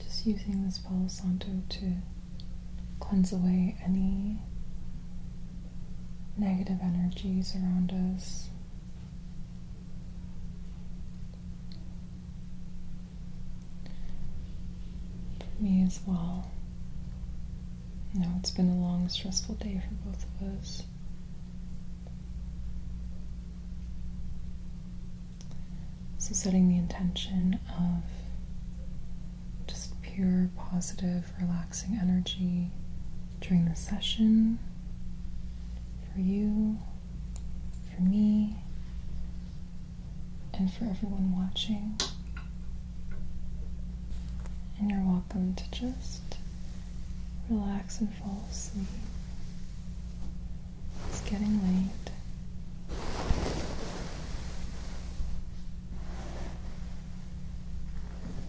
Just using this palo santo to cleanse away any negative energies around us. me as well. You it's been a long, stressful day for both of us. So, setting the intention of just pure positive relaxing energy during the session for you, for me, and for everyone watching. And you're welcome to just relax and fall asleep. It's getting late.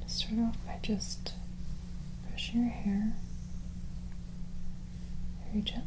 Just start off by just brushing your hair very gently.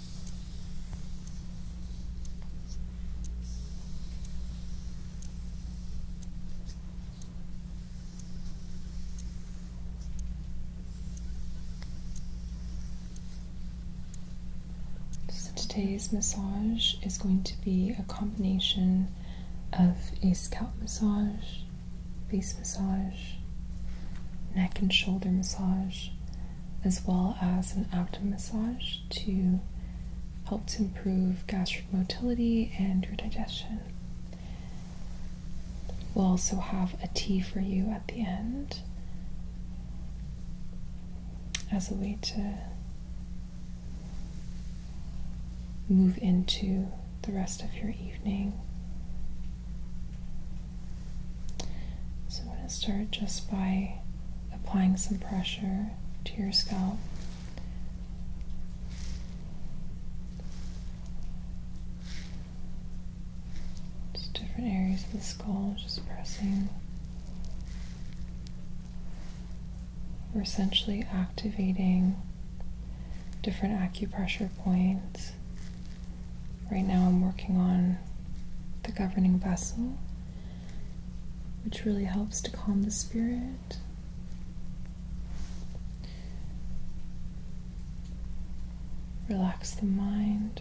today's massage is going to be a combination of a scalp massage, face massage, neck and shoulder massage, as well as an abdomen massage to help to improve gastric motility and your digestion. We'll also have a tea for you at the end as a way to move into the rest of your evening. So I'm going to start just by applying some pressure to your scalp. Just different areas of the skull, just pressing. We're essentially activating different acupressure points. Right now, I'm working on the governing vessel which really helps to calm the spirit. Relax the mind.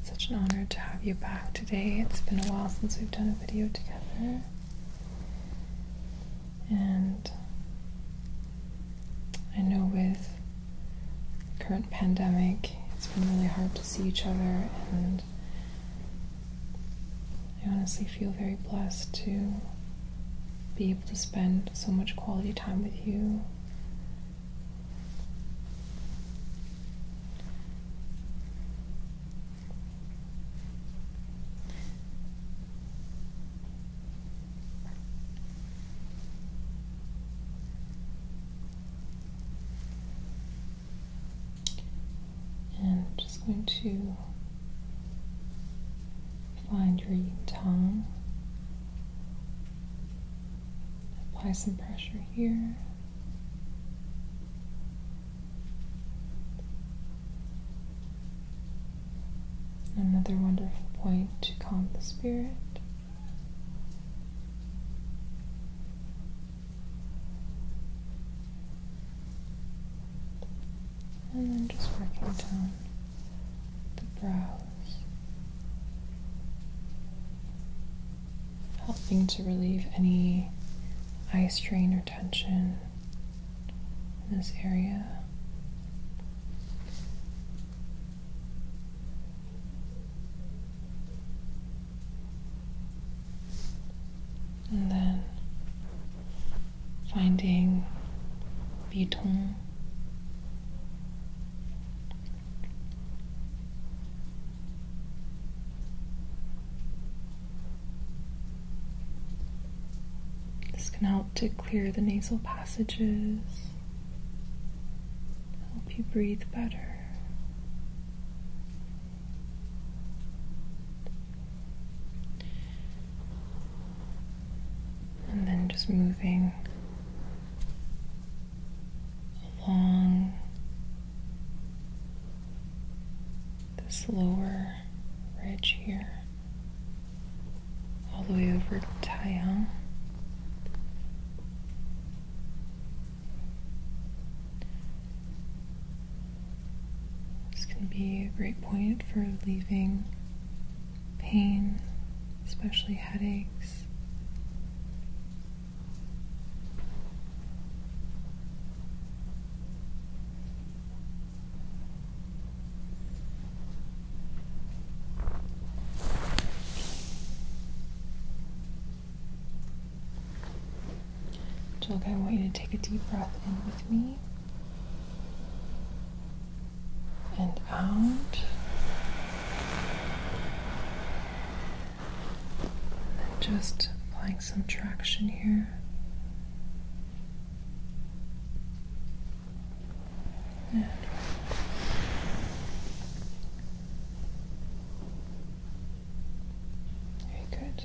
It's such an honor to have you back today. It's been a while since we've done a video together. And I know with current pandemic, it's been really hard to see each other and I honestly feel very blessed to be able to spend so much quality time with you. And just going to Find your tongue. Apply some pressure here. Another wonderful point to calm the spirit. And then just working down the brows, helping to relieve any eye strain or tension in this area. And then finding Vuitton. This can help to clear the nasal passages, help you breathe better and then just moving along this lower ridge here, all the way over to Taiyang. This can be a great point for leaving pain, especially headaches. Jilk, I want you to take a deep breath in with me and out. And just applying some traction here. very good.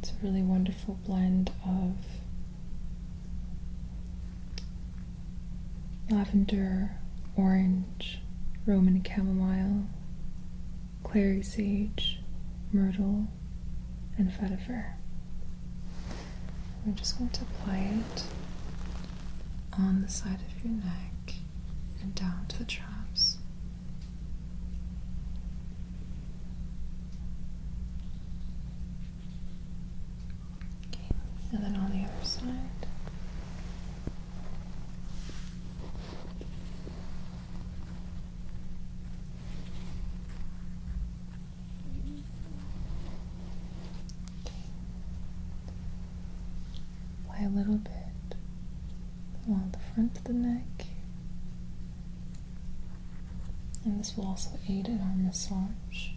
It's a really wonderful blend of lavender, orange, Roman chamomile, clary sage, myrtle, and vetiver. We're just going to apply it on the side of your neck and down to the traps and then on the other side. Okay. Apply a little bit along the front of the neck and this will also aid in our massage.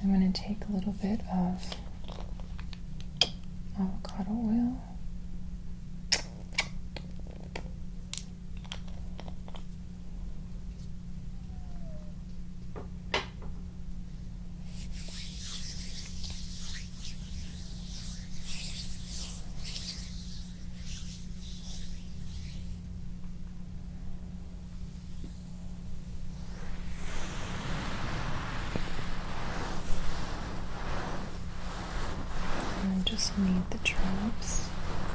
I'm going to take a little bit of avocado oil I just need the traps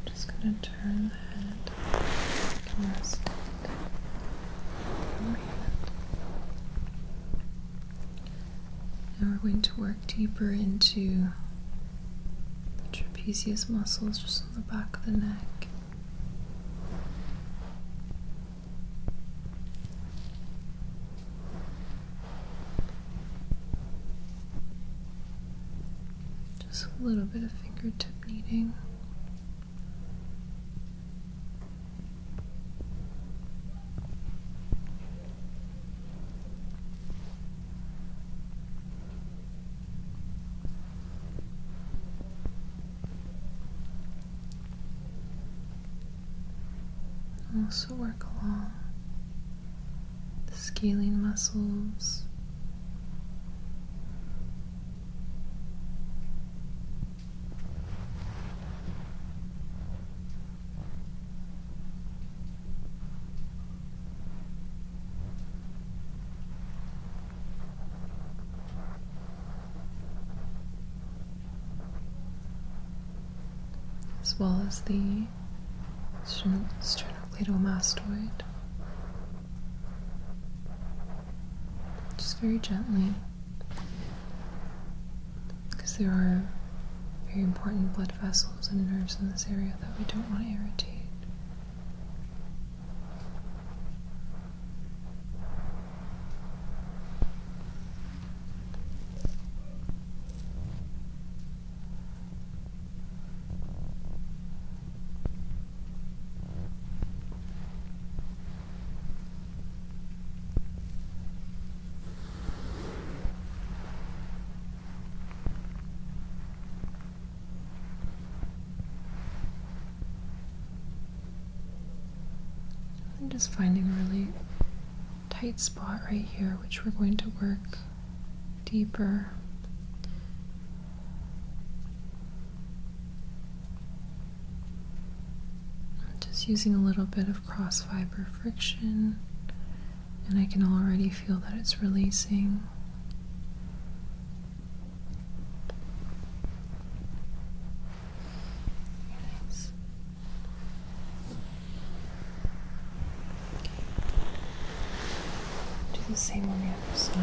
I'm just going to turn the head and rest it from here. Now we're going to work deeper into the trapezius muscles just on the back of the neck. Just a little bit of fingertip kneading. Also work along the scaling muscles as well as the sternocleidomastoid. Just very gently because there are very important blood vessels and nerves in this area that we don't want to irritate. I'm just finding a really tight spot right here, which we're going to work deeper. just using a little bit of cross fiber friction and I can already feel that it's releasing. Do the same on the other side.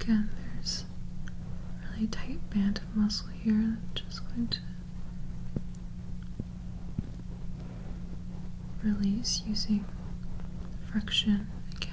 Again, there's a really tight band of muscle here I'm just going to release using friction again.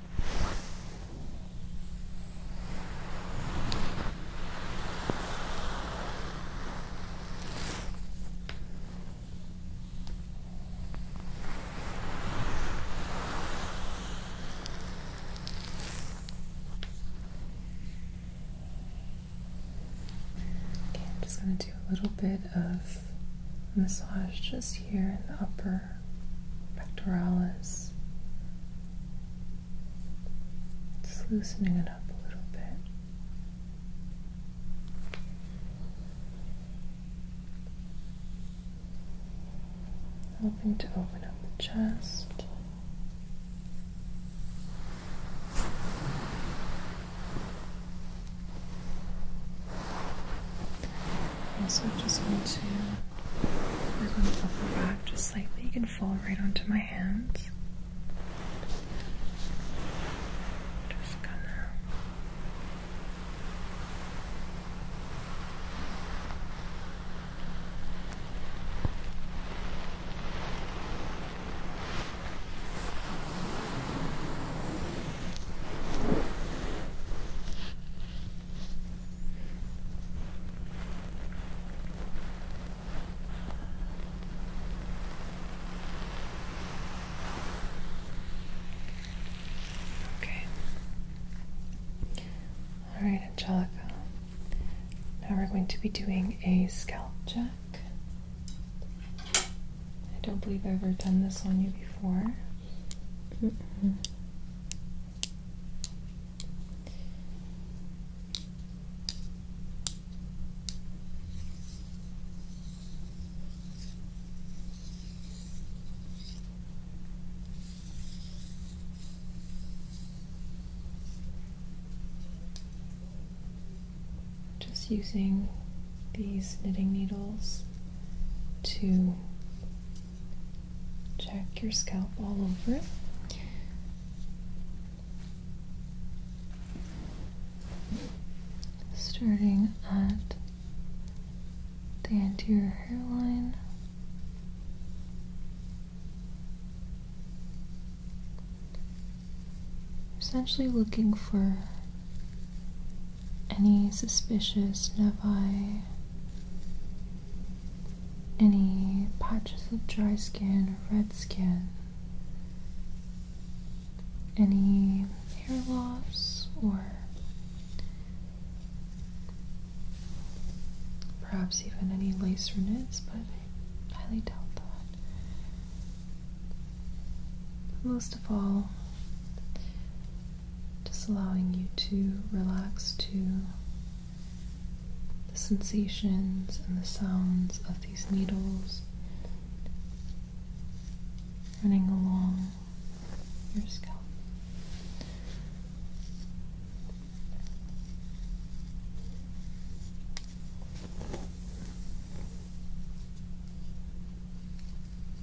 Okay, I'm just going to do a little bit of massage just here in the upper pectoralis. Just loosening it up a little bit. Hoping to open up the chest. Also, just want to Work going to upper back just slightly. You can fall right onto my hands. Just gonna. Okay. All right, Angelica. Now we're going to be doing a scalp check. I don't believe I've ever done this on you before. Just using these knitting needles to Check your scalp all over. Starting at the anterior hairline. Essentially looking for any suspicious nevi, any patches of dry skin or red skin, any hair loss or perhaps even any lacerations. but I highly doubt that. most of all, just allowing you to relax to the sensations and the sounds of these needles running along your scalp.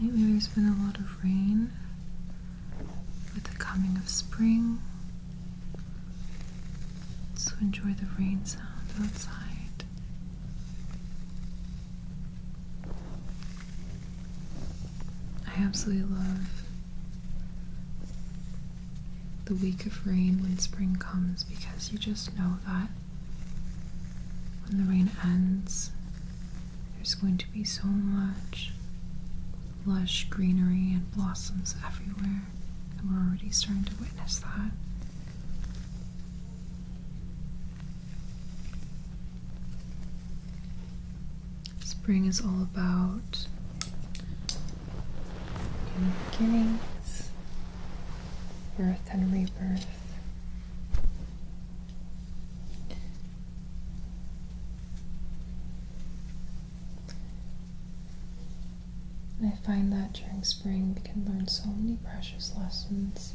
lately there's been a lot of rain with the coming of spring. So enjoy the rain sound outside. I absolutely love the week of rain when spring comes because you just know that when the rain ends, there's going to be so much lush greenery and blossoms everywhere, and we're already starting to witness that. Spring is all about new beginnings, birth and rebirth. And I find that during spring we can learn so many precious lessons.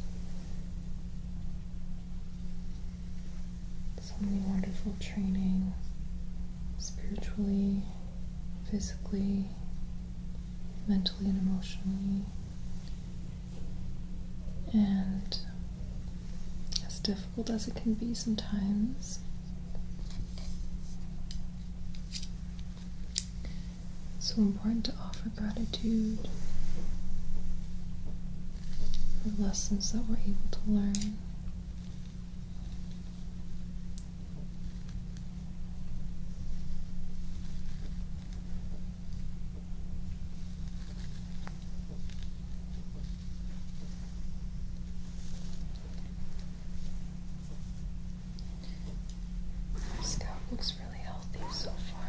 So many wonderful training spiritually, physically, mentally, and emotionally. And as difficult as it can be sometimes, so important to offer gratitude for lessons that we're able to learn. Scout looks really healthy so far.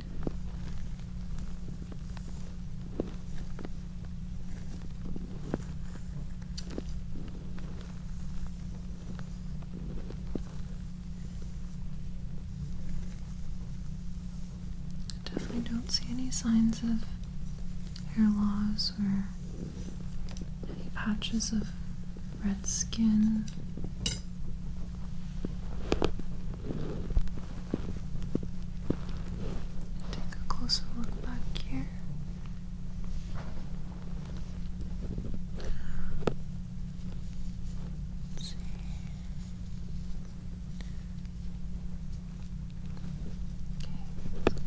I definitely don't see any signs of hair loss or any patches of red skin. Take a closer look back here. Okay, that's good.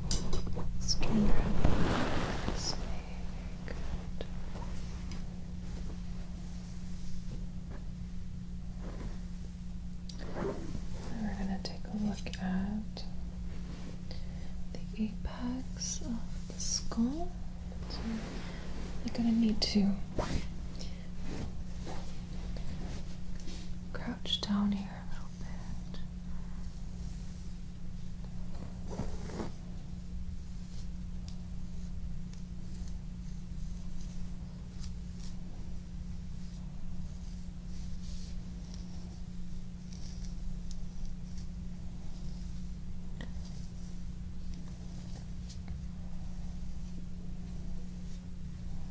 Just trying to relax. Very, We're going to take a look at the apex of the skull. We're going to need to crouch down here a bit. Okay.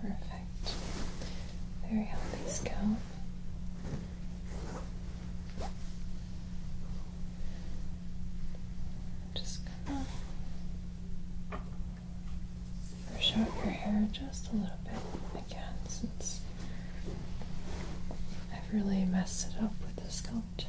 Perfect. Very healthy scalp. Just gonna brush out your hair just a little bit again since I've really messed it up with the scalp check.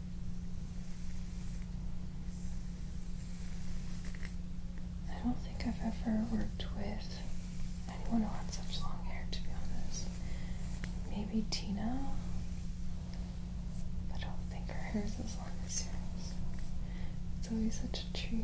I don't think I've ever worked with anyone who had such long hair, to be honest. Maybe Tina? I don't think her hair is as long as yours. It's always such a treat.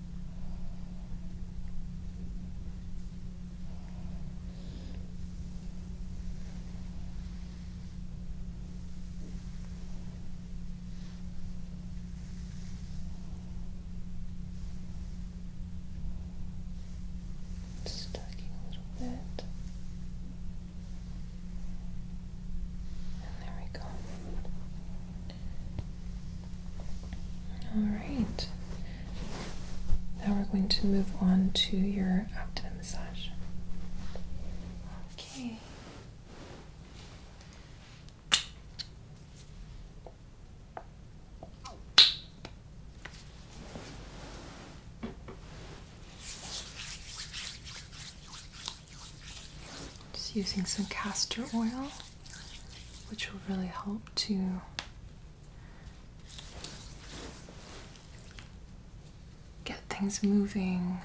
Stacking a little bit. And there we go. All right. Now we're going to move on to your active massage. Okay. Just using some castor oil, which will really help to get things moving.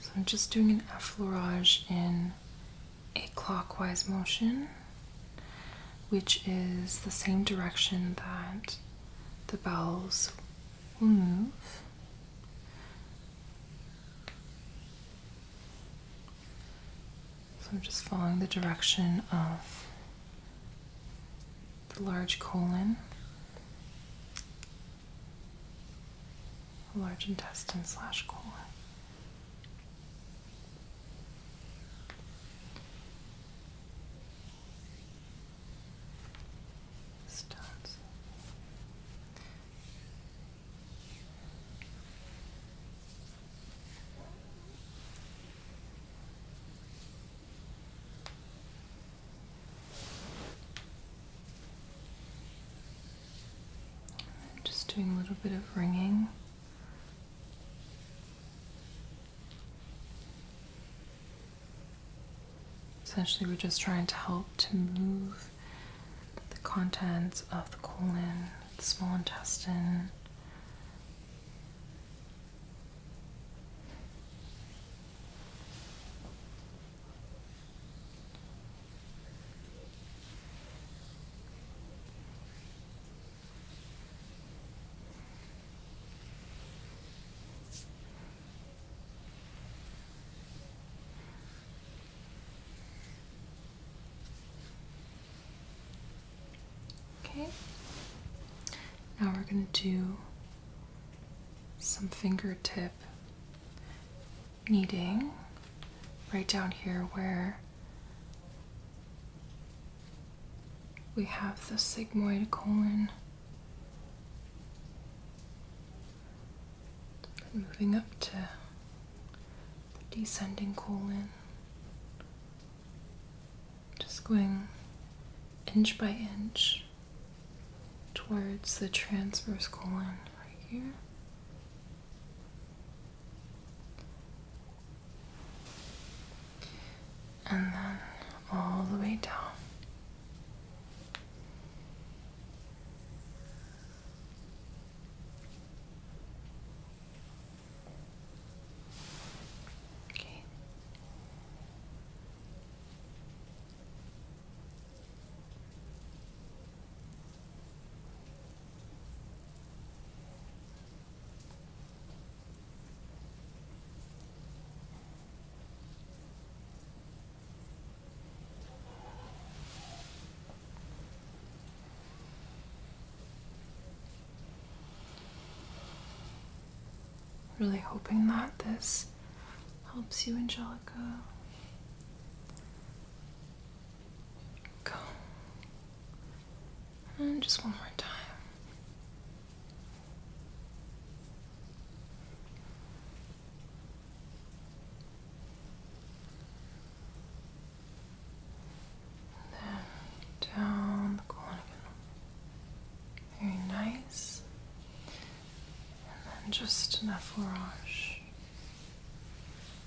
So I'm just doing an affleurage in a clockwise motion, which is the same direction that the bells will move. So I'm just following the direction of the large colon large intestine slash colon. Stones. And just doing a little bit of ringing. Essentially, we're just trying to help to move the contents of the colon, the small intestine. Okay. Now we're going to do some fingertip needing right down here where we have the sigmoid colon. moving up to the descending colon. Just going inch by inch towards the transverse colon right here and then all the way down. Okay. Really hoping that this helps you, Angelica. Go. And just one more time. Then down the corner again. Very nice. And then just enough orange.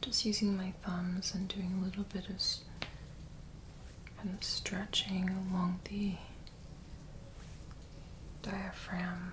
Just using my thumbs and doing a little bit of kind of stretching along the diaphragm.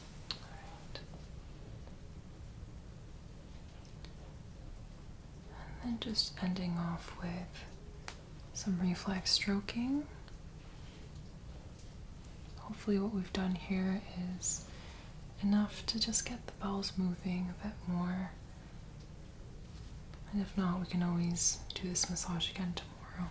And then just ending off with some reflex stroking. Hopefully, what we've done here is enough to just get the balls moving a bit more. And if not, we can always do this massage again tomorrow.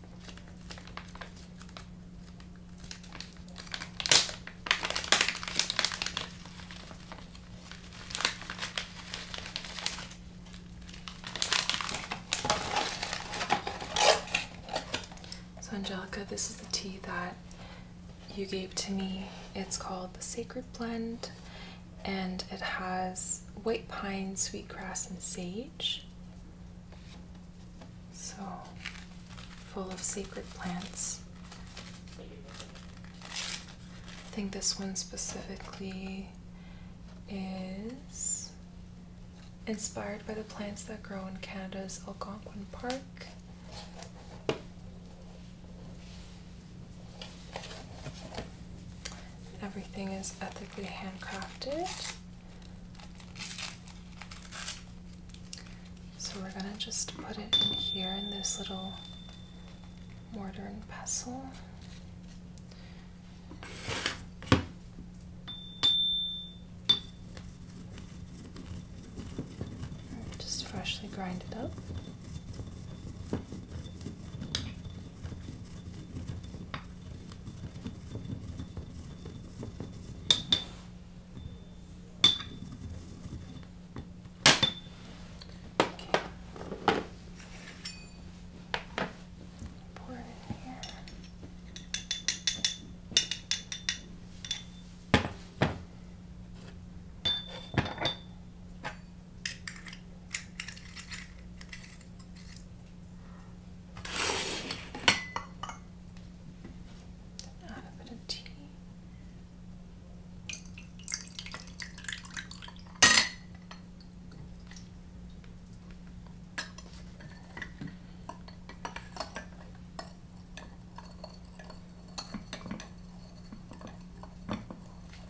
So Angelica, this is the tea that you gave to me. It's called the Sacred Blend and it has white pine, sweetgrass, and sage. So full of sacred plants. I think this one specifically is inspired by the plants that grow in Canada's Algonquin Park. Everything is ethically handcrafted. So we're going to just put it in here in this little mortar and pestle. just freshly grind it up. Pour it in here. Add a bit of tea.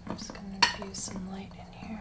I'm just going to use some light in here.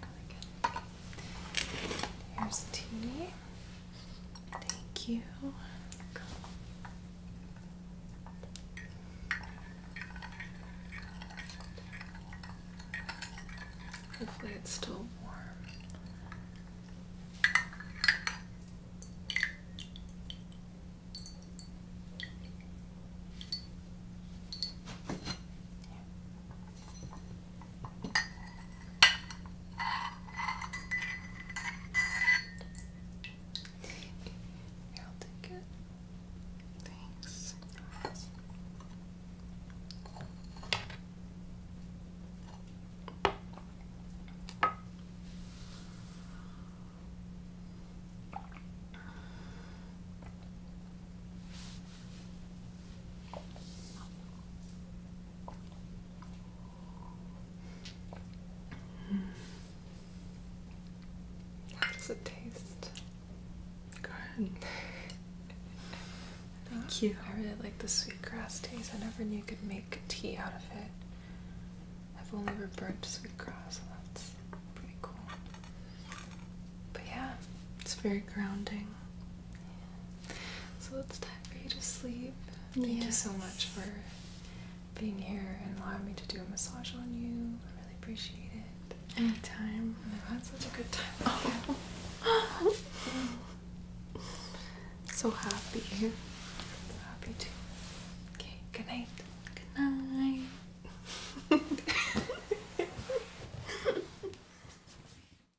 Really Here's tea. Thank you. Hopefully, it's still warm. Here, i take it. Thanks. How does it taste? Good. Thank you. I really like the sweet grass taste. I never knew you could make tea out of it. I've only ever burnt sweet grass, so that's pretty cool. But yeah, it's very grounding. So it's time for you to sleep. Thank you so much for being here and allowing me to do a massage on you. I really appreciate it. Anytime. I've had such a good time. Oh. so happy. So happy too. Okay, good night. Good night.